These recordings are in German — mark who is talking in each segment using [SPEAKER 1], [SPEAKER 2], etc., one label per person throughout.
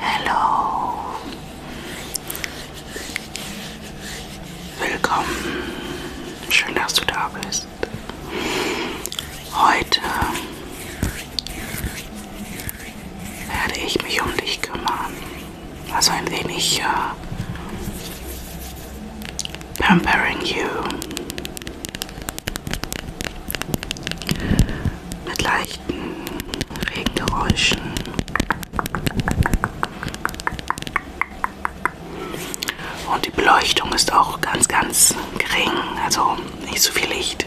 [SPEAKER 1] Hallo. Willkommen. Schön, dass du da bist. Heute werde ich mich um dich kümmern. Also ein wenig uh, pampering you. Mit leicht Lichten, Regengeräuschen. Und die Beleuchtung ist auch ganz, ganz gering, also nicht so viel Licht.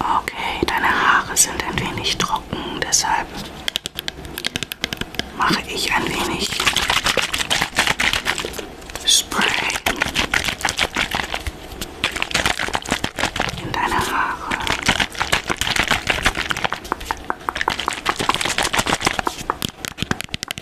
[SPEAKER 1] Okay, deine Haare sind ein wenig trocken, deshalb mache ich ein wenig Spray in deine Haare.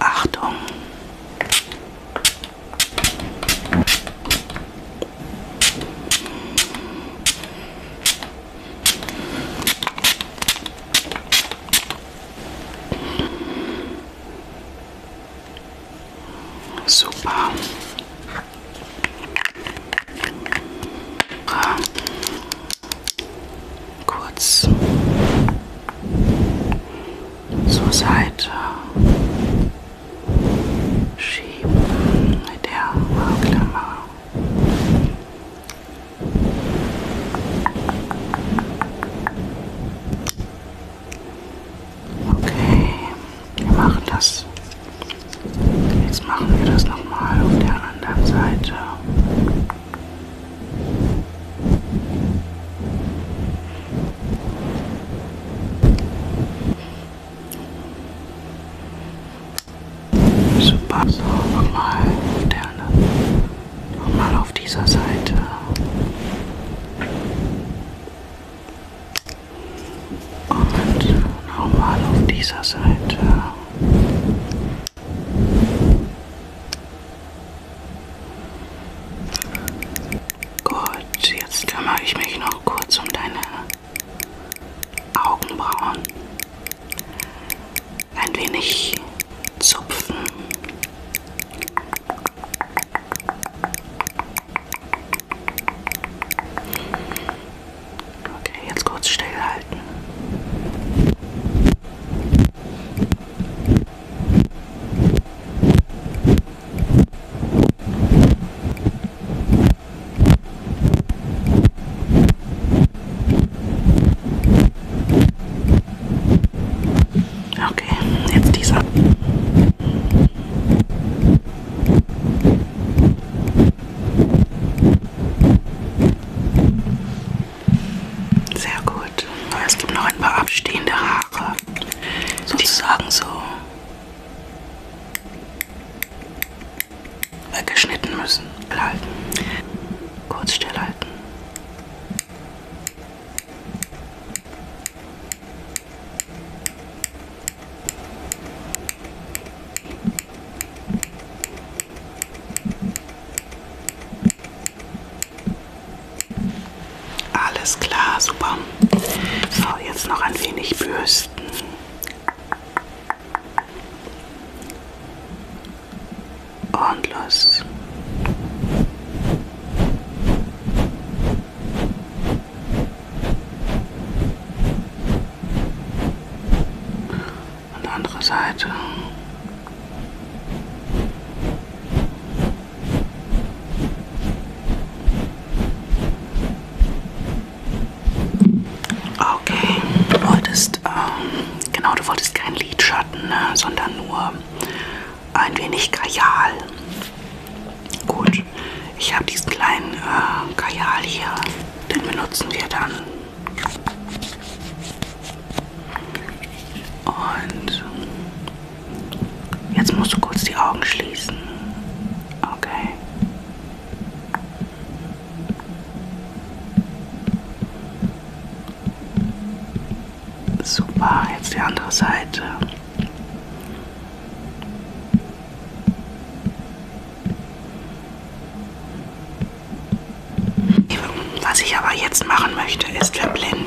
[SPEAKER 1] Achtung. Super. Kurz zur Seite schieben mit der Klammer. Okay, wir machen das. Jetzt machen wir das nochmal auf der anderen Seite. Super, so nochmal auf der anderen, nochmal auf dieser Seite. Und nochmal auf dieser Seite. Gut, jetzt kümmere ich mich noch kurz um deine Augenbrauen. Ein wenig zupfen. Okay, jetzt kurz stillhalten. Okay, jetzt dieser. Sehr gut. Es gibt noch ein paar abstehende Haare. Sozusagen so weggeschnitten müssen. Halten. Kurz stillhalten. Alles klar, super. So, jetzt noch ein wenig bürsten. Und los. Und andere Seite. Okay, du wolltest, ähm, genau, du wolltest keinen Lidschatten, ne, sondern nur ein wenig Kajal. Gut, ich habe diesen kleinen äh, Kajal hier, den benutzen wir dann. Und jetzt musst du kurz die Augen schließen. Okay. Super, jetzt die andere Seite. Was ich aber jetzt machen möchte, ist verblenden.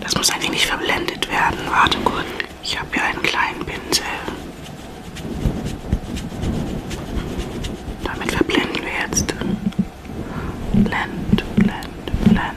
[SPEAKER 1] Das muss eigentlich nicht verblendet werden. Warte kurz. Ich habe hier einen kleinen Pinsel. Damit verblenden wir jetzt. Blend, blend, blend.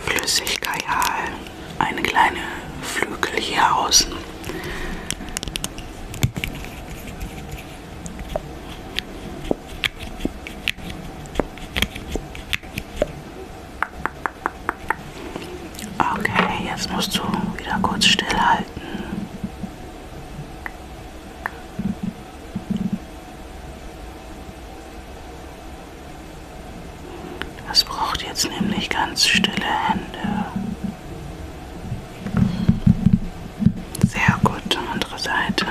[SPEAKER 1] Flüssigkajal, eine kleine Flügel hier außen. Okay, jetzt musst du wieder kurz stillhalten. Es braucht jetzt nämlich ganz stille Hände. Sehr gut, andere Seite.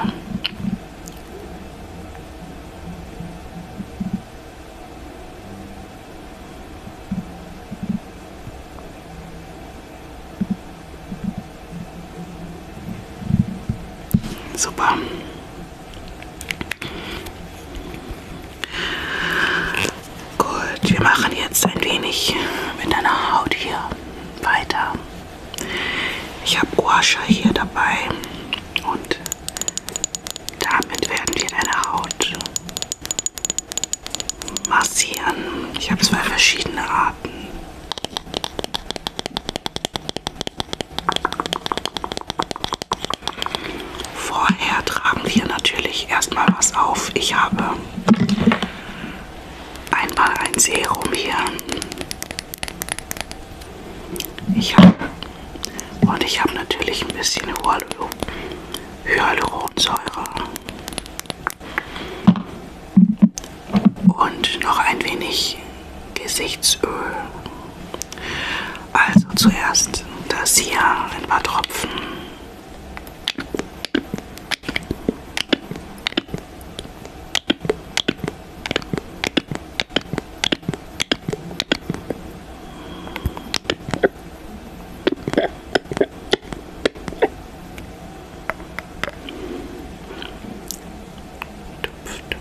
[SPEAKER 1] Super. Gut, wir machen jetzt ein wenig mit deiner Haut hier weiter. Ich habe Washer hier dabei und damit werden wir deine Haut massieren. Ich habe zwei verschiedene Arten. Vorher tragen wir natürlich erstmal was auf. Ich habe einmal ein Serum hier. Ich habe und ich habe natürlich ein bisschen Hyaluronsäure und noch ein wenig Gesichtsöl. Also zuerst das hier, ein paar Tropfen. Tupf,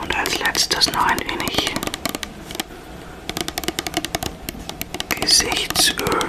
[SPEAKER 1] Und als letztes noch ein wenig Gesichtsöl.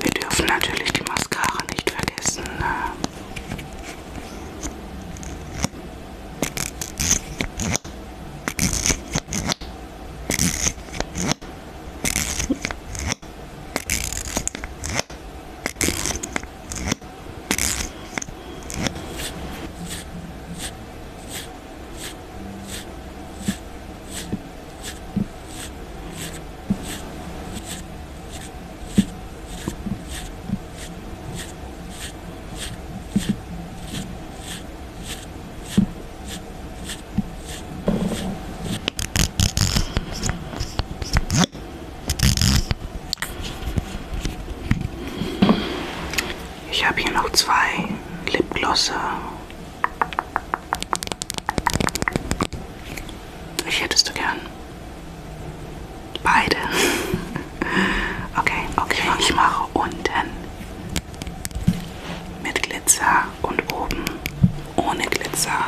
[SPEAKER 1] Wir dürfen natürlich die Mascara nicht vergessen. Ne? Ich habe hier noch zwei Lipglosse wie hättest du gern? Beide. okay, okay. Ich mache unten mit Glitzer und oben ohne Glitzer.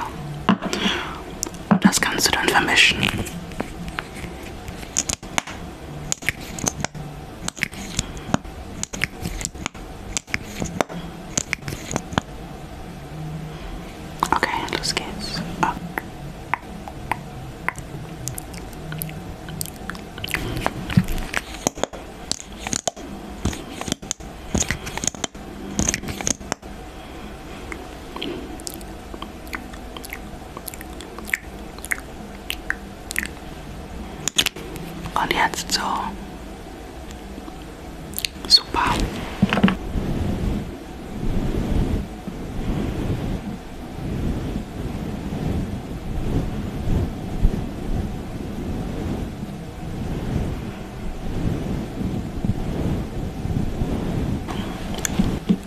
[SPEAKER 1] Und das kannst du dann vermischen. Okay, los geht's. Oh. Und jetzt so Super.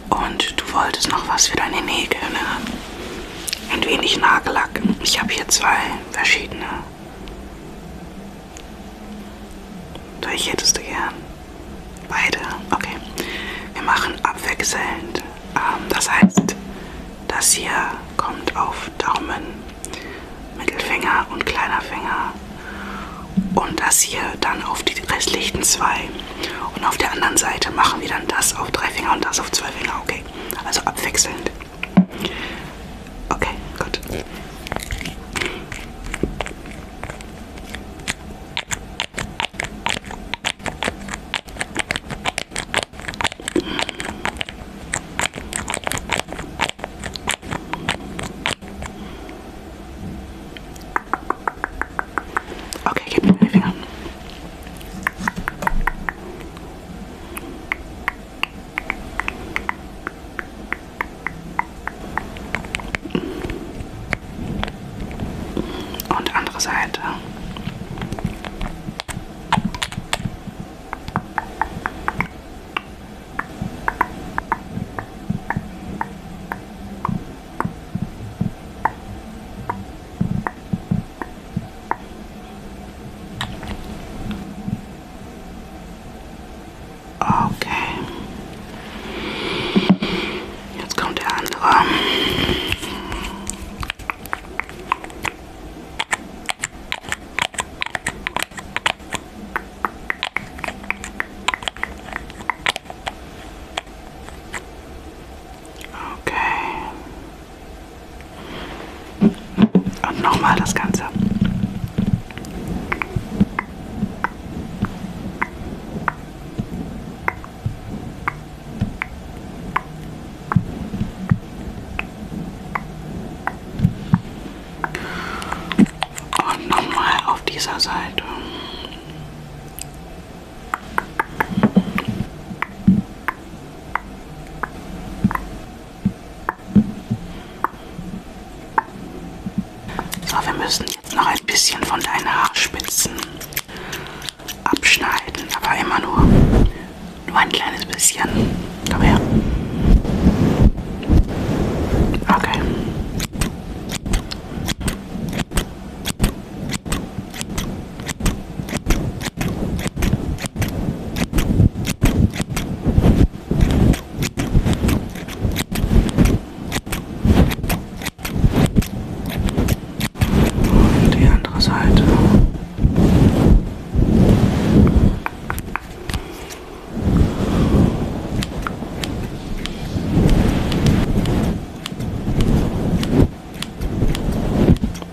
[SPEAKER 1] Und du wolltest noch was für deine Nägel, ne? Ein wenig Nagellack. Ich habe hier zwei verschiedene durch hättest du gern? Beide? Okay. Wir machen abwechselnd. Ähm, das heißt, das hier kommt auf Daumen, Mittelfinger und kleiner Finger. Und das hier dann auf die restlichen zwei. Und auf der anderen Seite machen wir dann das auf drei Finger und das auf zwei Finger. Okay. Also abwechselnd. Okay, good. Okay, keep moving on. Und andere Seite. Okay. Let's go down low. Um, okay. Und nochmal das Ganze. Und nochmal auf dieser Seite. So, wir müssen jetzt noch ein bisschen von deinen Haarspitzen abschneiden, aber immer nur, nur ein kleines bisschen. Komm her. Okay. Und die andere Seite.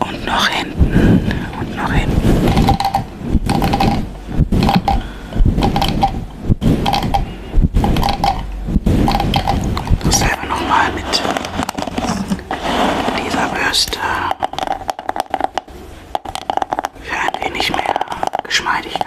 [SPEAKER 1] Und noch hinten. Und noch hinten. Dasselbe nochmal mit dieser Bürste. Für ein wenig mehr Geschmeidigkeit.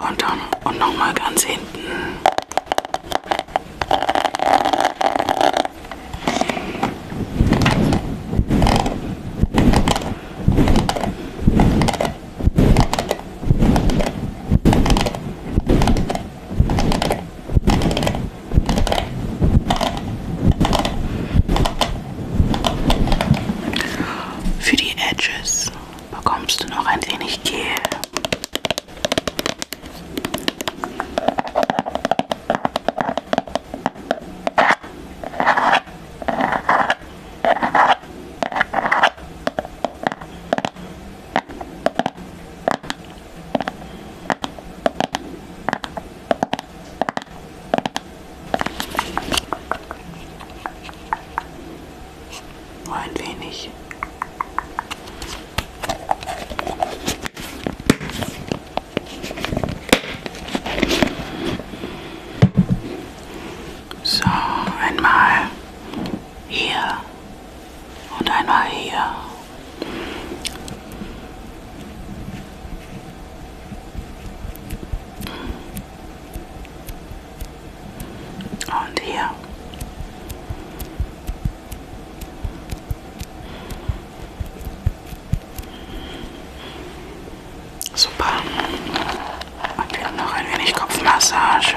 [SPEAKER 1] Und dann und nochmal ganz hinten. Für die Edges bekommst du noch ein wenig Gel. Nur ein wenig. So, einmal hier und einmal hier. Und hier. Super. Und wir haben noch ein wenig Kopfmassage.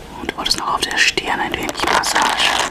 [SPEAKER 1] Und wolltest noch auf der Stirn ein wenig Massage.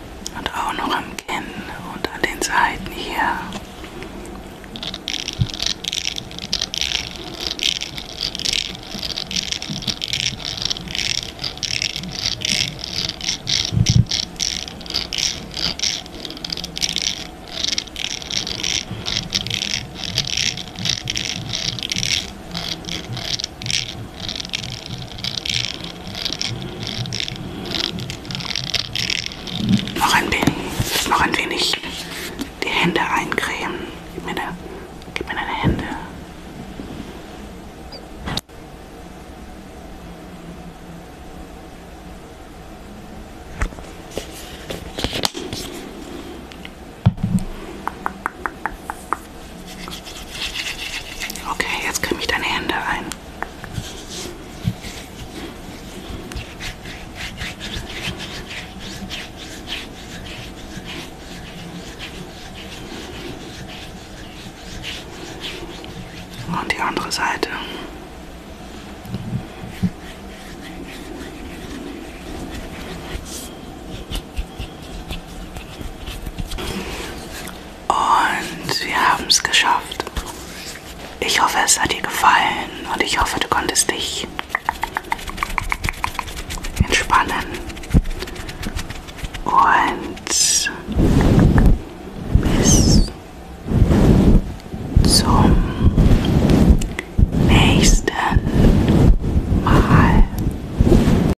[SPEAKER 1] und auch noch am Kinn und an den Seiten hier. Noch ein wenig, noch ein wenig die Hände eincremen. Gib mir, da, gib mir deine Hände. Okay, jetzt kriege ich deine Hände ein. Und die andere Seite. Und wir haben es geschafft. Ich hoffe, es hat dir gefallen und ich hoffe, du konntest dich entspannen und bis zum nächsten Mal.